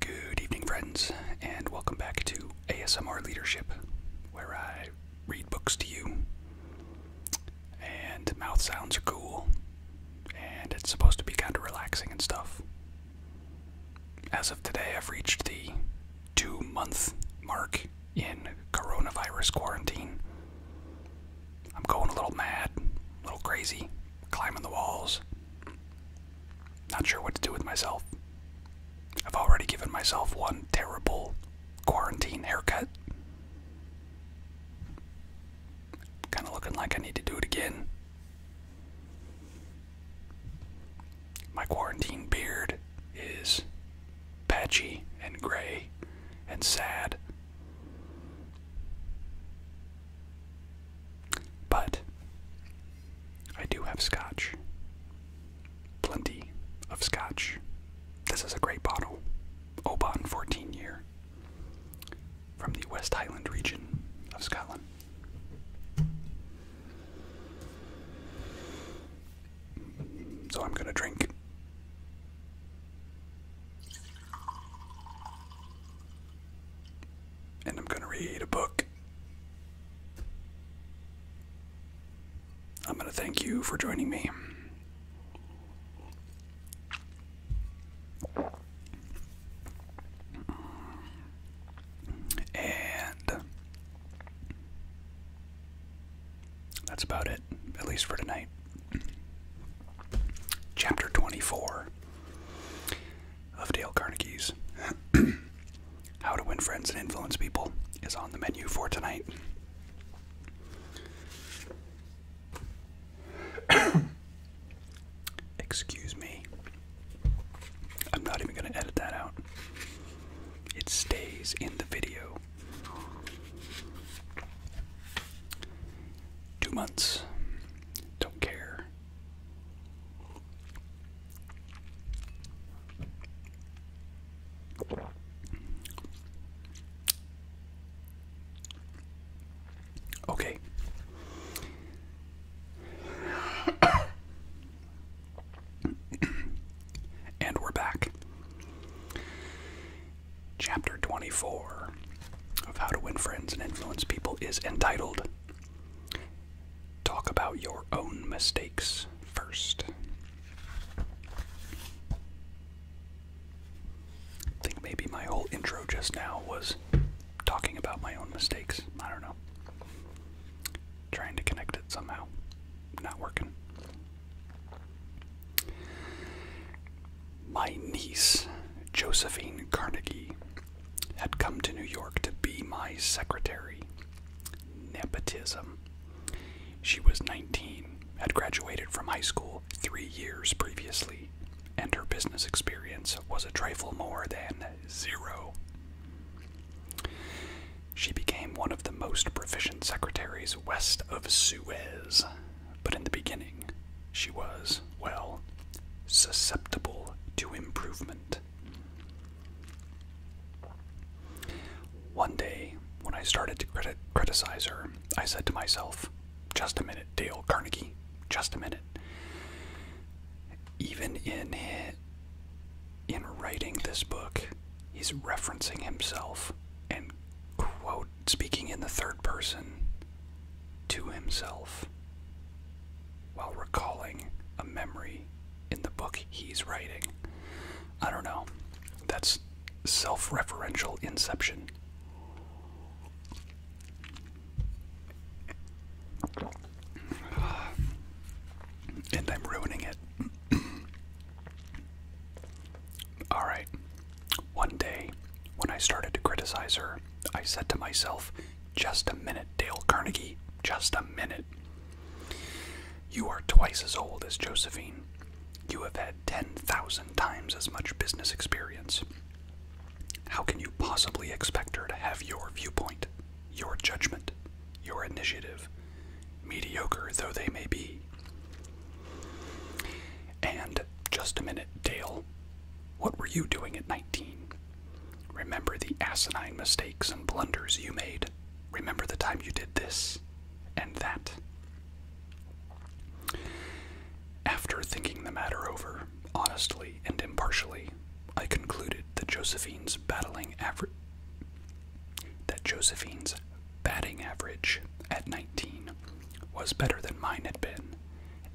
Good evening, friends, and welcome back to ASMR Leadership, where I read books to you. And mouth sounds are cool, and it's supposed to be kind of relaxing and stuff. As of today, I've reached the two month mark in coronavirus quarantine. I'm going a little mad, a little crazy, climbing the walls, not sure what to do with myself. I've already given myself one terrible quarantine haircut. Kind of looking like I need to do it again. My quarantine beard is patchy and gray and sad. But I do have scotch. Plenty of scotch. This is a great bottle. Oban 14 year from the West Highland region of Scotland. So I'm going to drink and I'm going to read a book. I'm going to thank you for joining me. And that's about it, at least for tonight. Chapter 24 of Dale Carnegie's How to Win Friends and Influence People is on the menu for tonight. Excuse me. I'm not even going to edit that out. It stays in the video two months. Don't care. Okay. and we're back. Chapter 24 of How to Win Friends and Influence People is entitled Talk About Your Own Mistakes First. I think maybe my whole intro just now was talking about my own mistakes. I don't know. Trying to connect it somehow. Not working. My niece, Josephine Carnegie, had come to New York to be my secretary. Nepotism. She was 19, had graduated from high school three years previously, and her business experience was a trifle more than zero. She became one of the most proficient secretaries west of Suez, but in the beginning she was, well, susceptible to improvement. One day, when I started to criticize her, I said to myself, just a minute, Dale Carnegie, just a minute. Even in in writing this book, he's referencing himself and quote speaking in the third person to himself while recalling a memory in the book he's writing. I don't know. That's self referential inception. And I'm ruining it. All right. One day, when I started to criticize her, I said to myself, Just a minute, Dale Carnegie, just a minute. You are twice as old as Josephine. You have had 10,000 times as much business experience. How can you possibly expect her to have your viewpoint, your judgment, your initiative, mediocre though they may be? And just a minute, Dale, what were you doing at 19? Remember the asinine mistakes and blunders you made. Remember the time you did this and that. After thinking the matter over, honestly and impartially, I concluded that Josephine's batting average at 19 was better than mine had been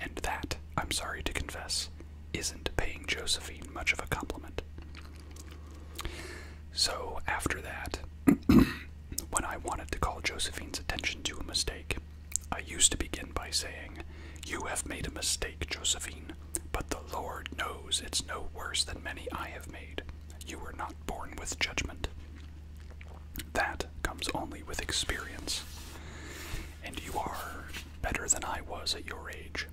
and that, I'm sorry to confess, isn't paying Josephine much of a compliment. So, after that, when I wanted to call Josephine's attention to a mistake, I used to begin by saying, You have made a mistake, Josephine, but the Lord knows it's no worse than many I have made. You were not born with judgment. That comes only with experience. And you are better than I was at your age.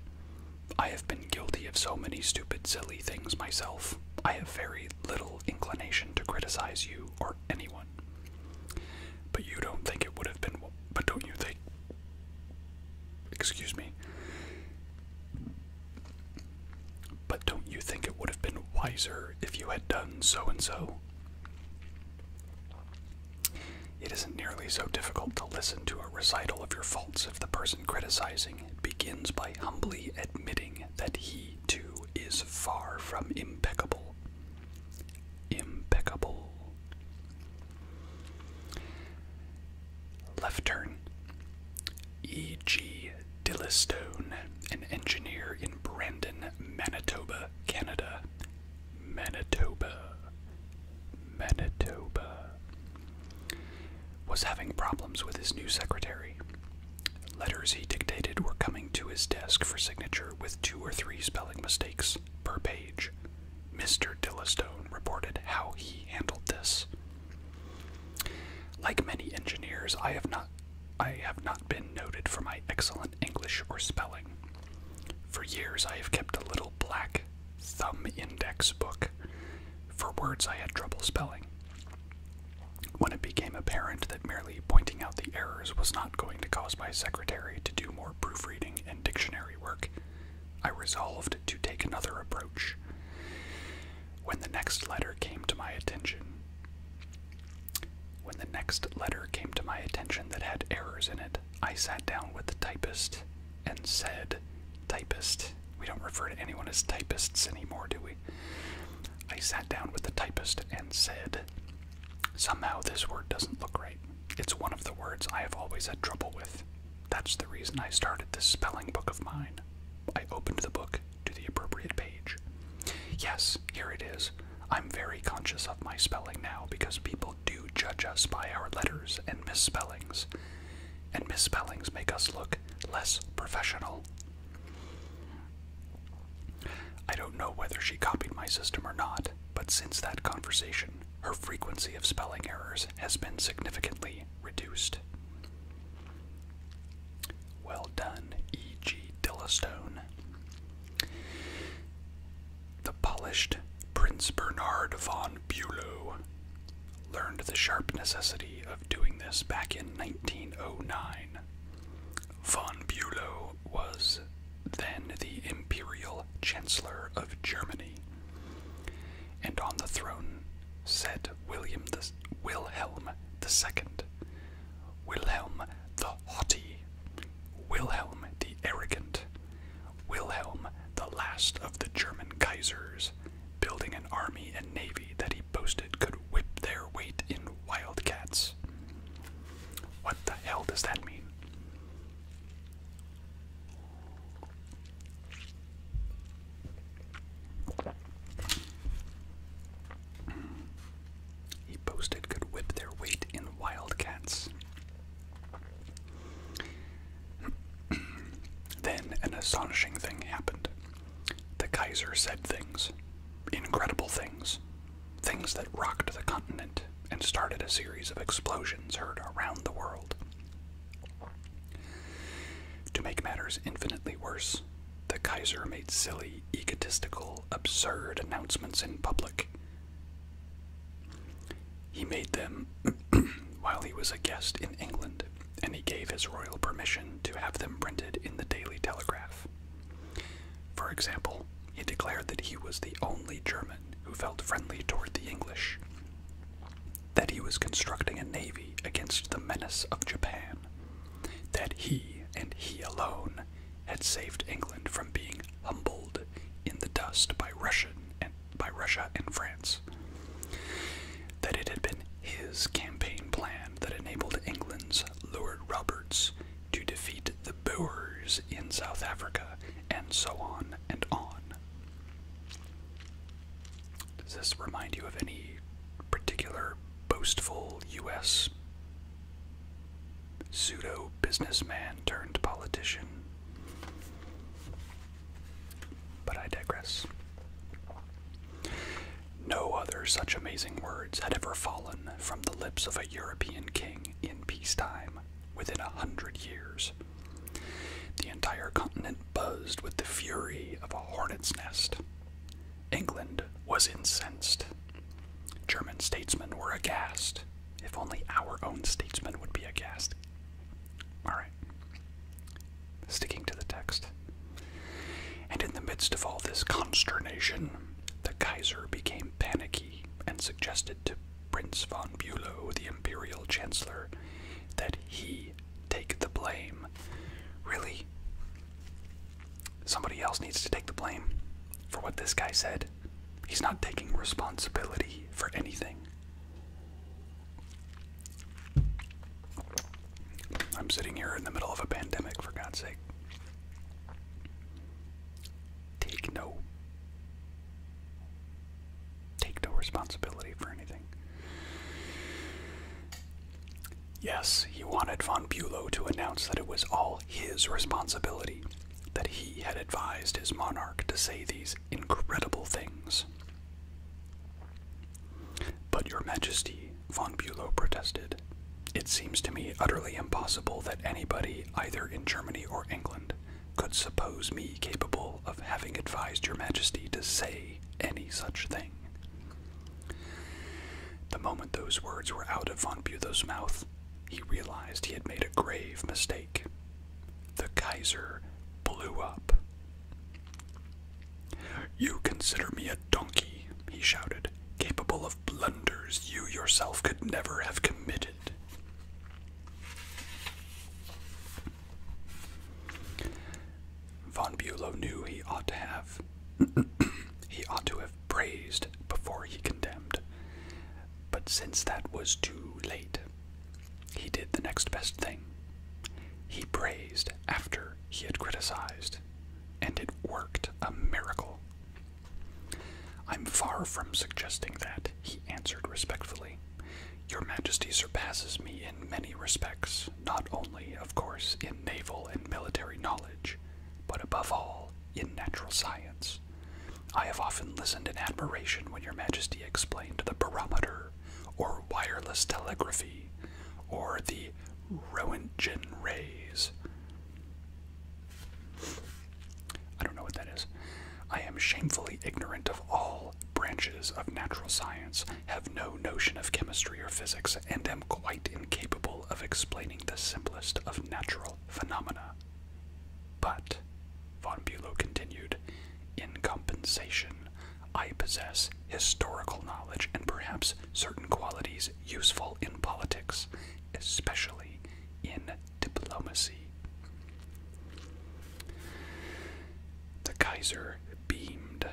I have been guilty of so many stupid, silly things myself. I have very little inclination to criticize you or anyone. But you don't think it would have been. But don't you think. Excuse me. But don't you think it would have been wiser if you had done so and so? It isn't nearly so difficult to listen to a recital of your faults if the person criticizing begins by humbly admitting that he, too, is far from impeccable. Impeccable. Left turn. E.G. Dillistone, an engineer in Brandon, Manitoba, Canada. Manitoba. Manitoba. Was having problems with his new secretary. Letters he dictated were coming to his desk for signature with two or three spelling mistakes per page. Mr. Dillistone reported how he handled this. Like many engineers, I have not I have not been noted for my excellent English or spelling. For years, I have kept a little black thumb index book for words I had trouble spelling. When it became apparent that merely pointing out the errors was not going to cause my secretary to do more proofreading and dictionary work, I resolved to take another approach. When the next letter came to my attention, when the next letter came to my attention that had errors in it, I sat down with the typist and said, Typist. We don't refer to anyone as typists anymore, do we? I sat down with the typist and said, Somehow this word doesn't look right. It's one of the words I have always had trouble with. That's the reason I started this spelling book of mine. I opened the book to the appropriate page. Yes, here it is. I'm very conscious of my spelling now because people do judge us by our letters and misspellings, and misspellings make us look less professional. I don't know whether she copied my system or not, but since that conversation, her frequency of spelling errors has been significantly reduced. Well done, E.G. Dillastone. The polished Prince Bernard von Bulow learned the sharp necessity of doing this back in 1909. Von Bulow was then the Imperial Chancellor of Germany, and on the throne sat William the, Wilhelm II, Wilhelm the Haughty, Wilhelm the Arrogant, Wilhelm the last of the German Kaisers, building an army and navy that he boasted could whip their weight in wildcats. What the hell does that mean? he boasted could whip their weight in wildcats. then an astonishing thing happened. The Kaiser said things, incredible things, things that rocked the continent and started a series of explosions heard around the world. To make matters infinitely worse, the Kaiser made silly, egotistical, absurd announcements in public. He made them while he was a guest in England, and he gave his royal permission to have them printed in the Daily Telegraph. For example, he declared that he was the only German who felt friendly toward the English, that he was constructing a navy against the menace of Japan, that he and he alone had saved England from being humbled in the dust by Russia and by Russia and France. That it had been his campaign plan that enabled England's Lord Roberts to defeat the Boers in South Africa, and so on and on. Does this remind you of any particular boastful U.S. pseudo businessman turned politician. But I digress. No other such amazing words had ever fallen from the lips of a European king in peacetime within a hundred years. The entire continent buzzed with the fury of a hornet's nest. England was incensed. German statesmen were aghast. If only our own statesmen would be aghast. Alright. Sticking to the text. And in the midst of all this consternation, the Kaiser became panicky and suggested to Prince von Bülow, the imperial chancellor, that he take the blame. Really? Somebody else needs to take the blame for what this guy said. He's not taking responsibility for anything. I'm sitting here in the middle of a pandemic, for God's sake. Take no. Take no responsibility for anything. Yes, he wanted von Bulow to announce that it was all his responsibility, that he had advised his monarch to say these incredible things. But, Your Majesty, von Bulow protested, it seems to me utterly impossible that anybody, either in Germany or England, could suppose me capable of having advised Your Majesty to say any such thing. The moment those words were out of von Butho's mouth, he realized he had made a grave mistake. The Kaiser blew up. You consider me a donkey, he shouted, capable of blunders you yourself could never have committed. Von Bulow knew he ought to have he ought to have praised before he condemned. But since that was too late, he did the next best thing. He praised after he had criticized, and it worked a miracle. I'm far from suggesting that, he answered respectfully. Your Majesty surpasses me in many respects, not only, of course, in naval and military knowledge, but above all, in natural science. I have often listened in admiration when Your Majesty explained the barometer, or wireless telegraphy, or the Roentgen rays. I don't know what that is. I am shamefully ignorant of all branches of natural science, have no notion of chemistry or physics and am quite incapable of explaining the simplest of natural phenomena. But, von Bülow continued, in compensation, I possess historical knowledge and perhaps certain qualities useful in politics, especially in diplomacy. The Kaiser beamed.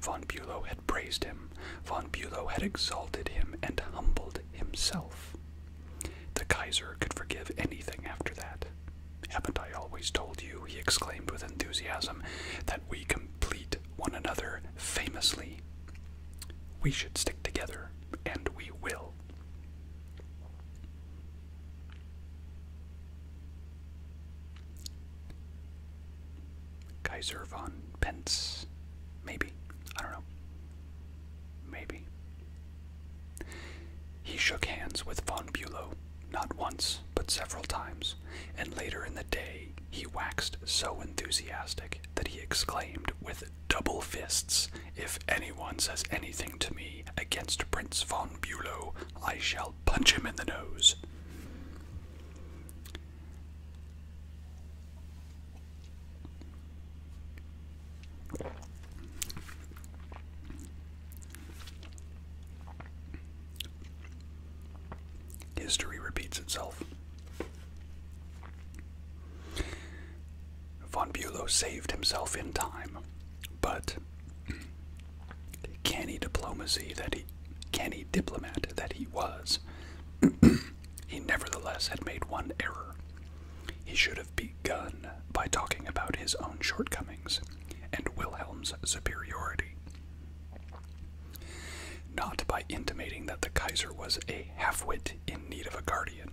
Von Bülow praised him, von Bulow had exalted him and humbled himself. The Kaiser could forgive anything after that. Haven't I always told you, he exclaimed with enthusiasm, that we complete one another famously? We should stick together, and we will. Kaiser von Pence. Maybe. I don't know. Maybe. He shook hands with von Bulow, not once, but several times, and later in the day he waxed so enthusiastic that he exclaimed with double fists, If anyone says anything to me against Prince von Bulow, I shall punch him in the nose. History repeats itself. Von Bulow saved himself in time, but canny diplomacy that he canny diplomat that he was, he nevertheless had made one error. He should have begun by talking about his own shortcomings and Wilhelm's superiority. Not by intimating that the Kaiser was a halfwit in need of a guardian.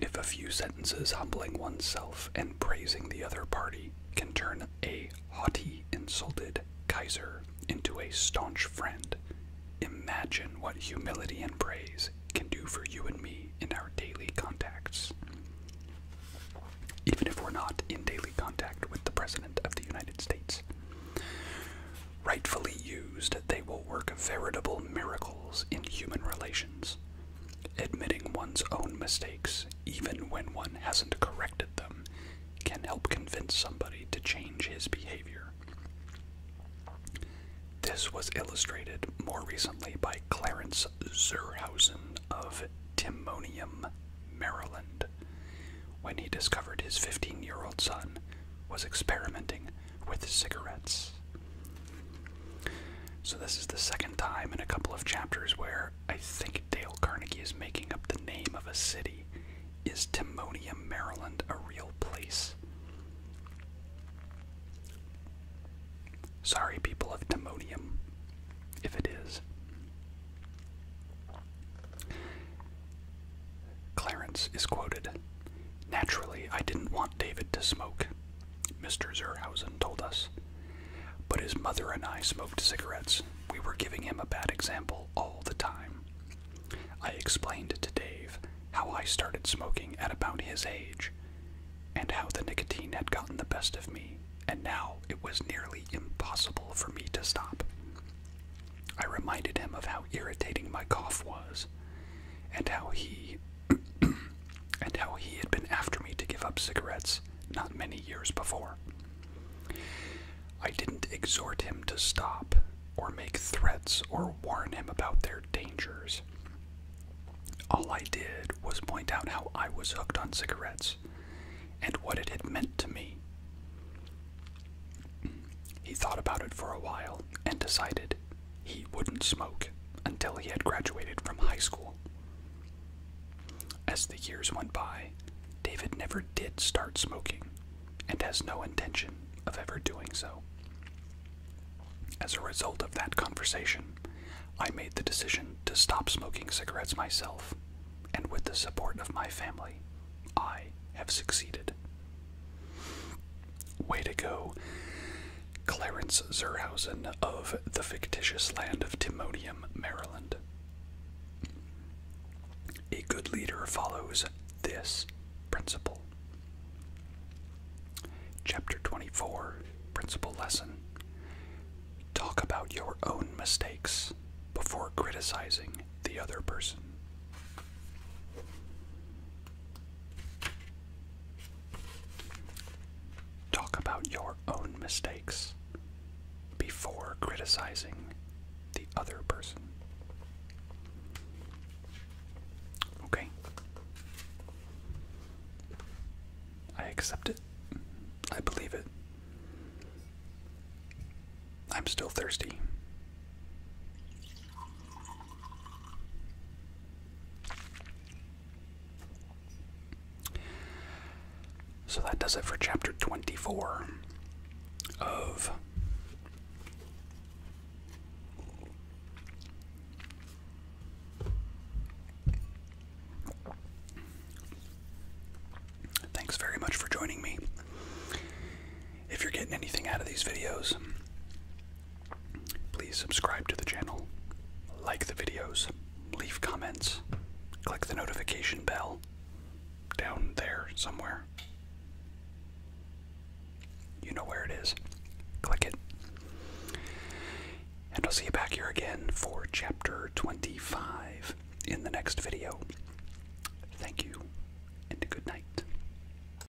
If a few sentences humbling oneself and praising the other party can turn a haughty, insulted Kaiser into a staunch friend, imagine what humility and praise can do for you and me in our daily contacts. Even if we're not in daily contact with the President of the United States. Rightfully used, they will work veritable miracles in human relations. Admitting one's own mistakes, even when one hasn't corrected them, can help convince somebody to change his behavior. This was illustrated more recently by Clarence Zurhausen of Timonium, Maryland, when he discovered his 15 year old son was experimenting with cigarettes. So, this is the second time in a couple of chapters where I think Dale Carnegie is making up the name of a city. Is Timonium, Maryland a real place? Sorry, people of Timonium, if it is. Clarence is quoted Naturally, I didn't want David to smoke, Mr. Zurhausen told us. But his mother and I smoked cigarettes. We were giving him a bad example all the time. I explained to Dave how I started smoking at about his age, and how the nicotine had gotten the best of me, and now it was nearly impossible for me to stop. I reminded him of how irritating my cough was, and how he and how he had been after me to give up cigarettes not many years before. I didn't exhort him to stop, or make threats, or warn him about their dangers. All I did was point out how I was hooked on cigarettes and what it had meant to me. He thought about it for a while and decided he wouldn't smoke until he had graduated from high school. As the years went by, David never did start smoking and has no intention of ever doing so. As a result of that conversation, I made the decision to stop smoking cigarettes myself, and with the support of my family, I have succeeded. Way to go. Clarence Zerhausen of the fictitious land of Timonium, Maryland. A good leader follows this principle. Chapter 24 Principle Lesson Talk about your own mistakes before criticizing the other person. Talk about your own mistakes before criticizing the other person. Okay. I accept it. I believe it. I'm still thirsty. So that does it for chapter 24 of Thanks very much for joining me. If you're getting anything out of these videos, Please subscribe to the channel, like the videos, leave comments, click the notification bell down there somewhere. You know where it is. Click it. And I'll see you back here again for chapter 25 in the next video. Thank you, and good night.